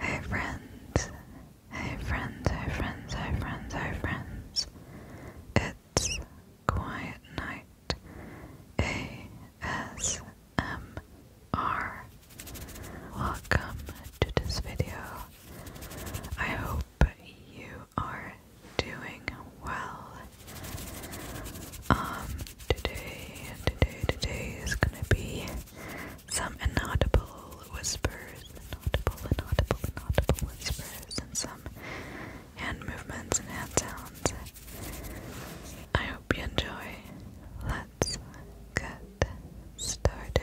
Hey friends, hey friends, hey friends, hey friends, It's Quiet Night ASMR. Welcome to this video. I hope but you are doing well. Um, today, today, today is gonna be some inaudible whispers, inaudible, inaudible, inaudible whispers, and some hand movements and hand sounds. I hope you enjoy. Let's get started.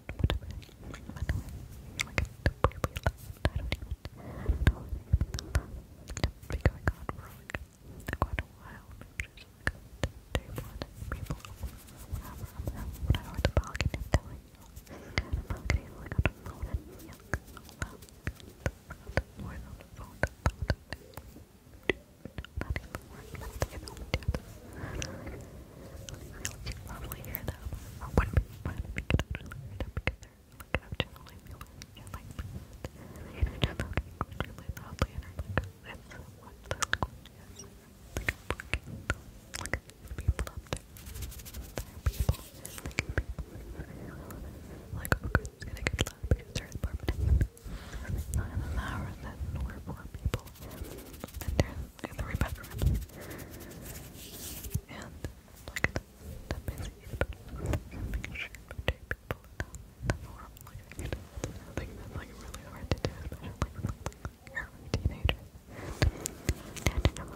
whatever. we left. going on you. You should probably hear that. I wouldn't be fun to pick it up and up because they're looking up to really feel you're like, you're oh, just really loudly and that's what the is. Like, fucking, people up there. people, people. Like, okay, it's gonna get loud because they're in apartment. Nine of the hours, then we're four people and there's the three bedrooms. And like the busy making sure to take people in the world like I think that's like really hard to do, especially with like you a teenager. And you know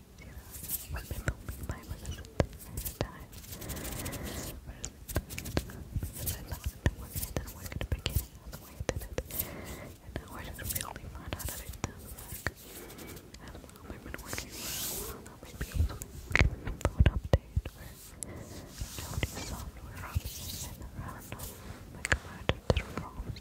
We've been filming my mother's entire time. Because I thought it was it didn't work at the beginning of the way I did it. And now I just really found out that it does work. I don't know, we've been working for a while I'll give an phone update where Jody's software options and the random like a murder to the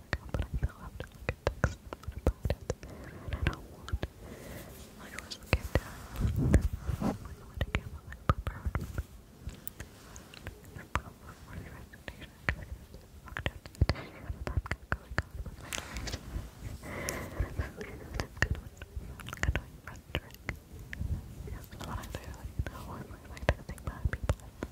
account, but I still have to look at text about it. And I don't want I was looking down. I want to get my prepared for me. The problem for the recitation fucked up. I've going on with my lyrics. That's good one. Good one, Frederick. That's what I do. Like, no one really likes to think bad people.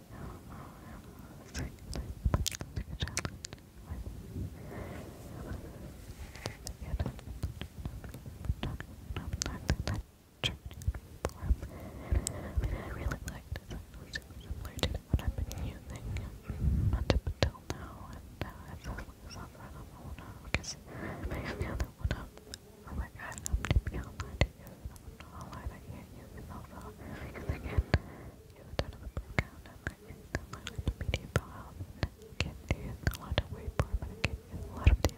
mean, I really liked it. It's really similar to I've been using not until now, and now I have this other one on because I'm making one up. Oh my god, I'm to be you all I that you use is also because again, you start of the background and like the language media file you can use a lot of waveform and it can use a lot of the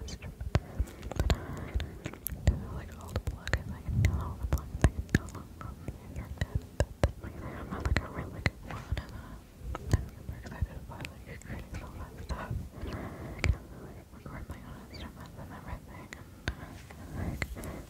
like all the plugins, I can all the plugins, I can download from the internet, but like I'm like a really good one I'm super excited about like creating some fun stuff. I can like record my own instruments and everything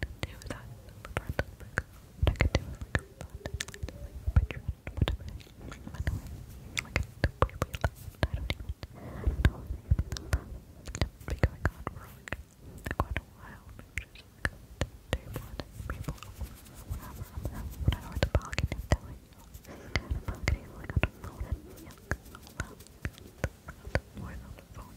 could do that front of the cup. I could do is like a front of like this, a picture and I don't know. Like it's way, way I don't even know. It's been going on for quite a while. just like table and people whatever. I I don't know what the you. The balcony is like on a phone and yuck. more than the phone.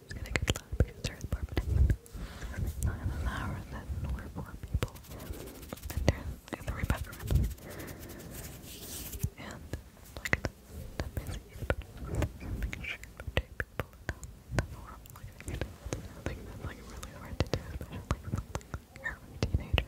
is gonna get loud because there is more people. in an hour, then we're four people. And there's three bedrooms. And like that the bedrooms. Making sure to take people out. That's what I'm I think that's like really hard to do, especially like you a teenager.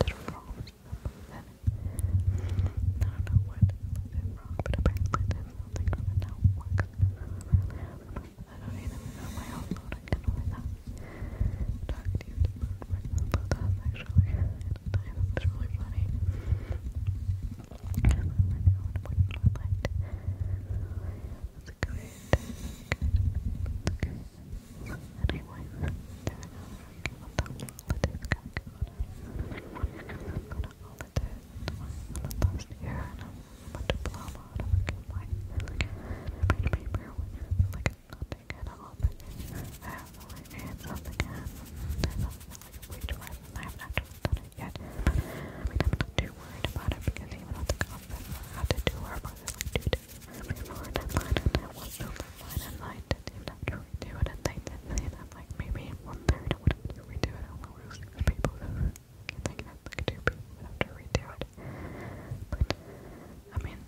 Twitter I don't know what is wrong, but apparently there's something on I don't even know my upload again without talking to you that actually. I thought that's really funny the current Anyway, there we go. We'll talk about this calculator. I'm gonna call it the last year and I'm a diploma out of a my paper with like nothing at all, but I have the right hands up again. I don't feel like a wage worth and I have not done it yet. I mean, I'm not too worried about it because even at the conference, I had to do our mother like two days really light and and I was so light and and didn't actually do it and they that maybe one third would have to redo it, only we were six people I think that like two people would have to it. But I mean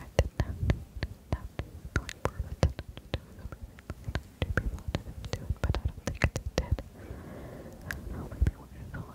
I did not not like for it to do it two people didn't do it but I don't think they did. I don't know,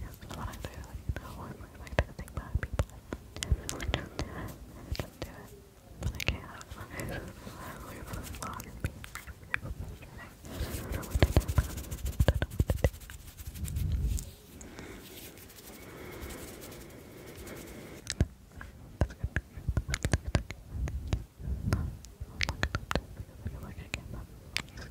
Yes, I want to really know I'm like to think people. I really not do it. I don't do it. But I can't have fun. I don't know what to do. I don't know what to do. That's good. That's good. Look at that. I feel like I can't.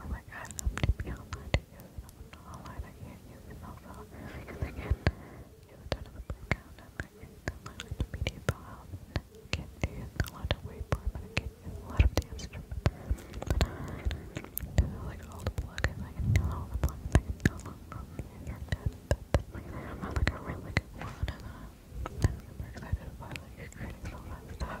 Oh my god, I'm tipping out my tickets. I'm not online, I can't use it also. Because I not use it out of the background. And I not download to PDF file. I can't use a lot of waypoint, but I can't a lot of the instruments. I like all the plugins. I can all the plugins. I can download from the internet. i like a really good one. I'm super excited about like creating so much stuff.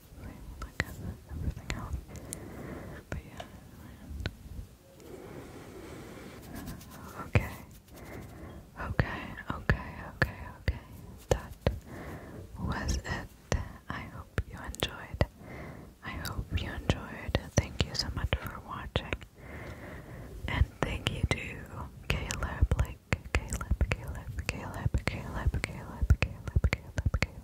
like cover everything out. But yeah, Okay. Okay, okay, okay, okay. That was it. I hope you enjoyed. I hope you enjoyed. Thank you so much for watching. And thank you to Caleb, like Caleb, Caleb, Caleb, Caleb, Caleb, Caleb, Caleb, Caleb.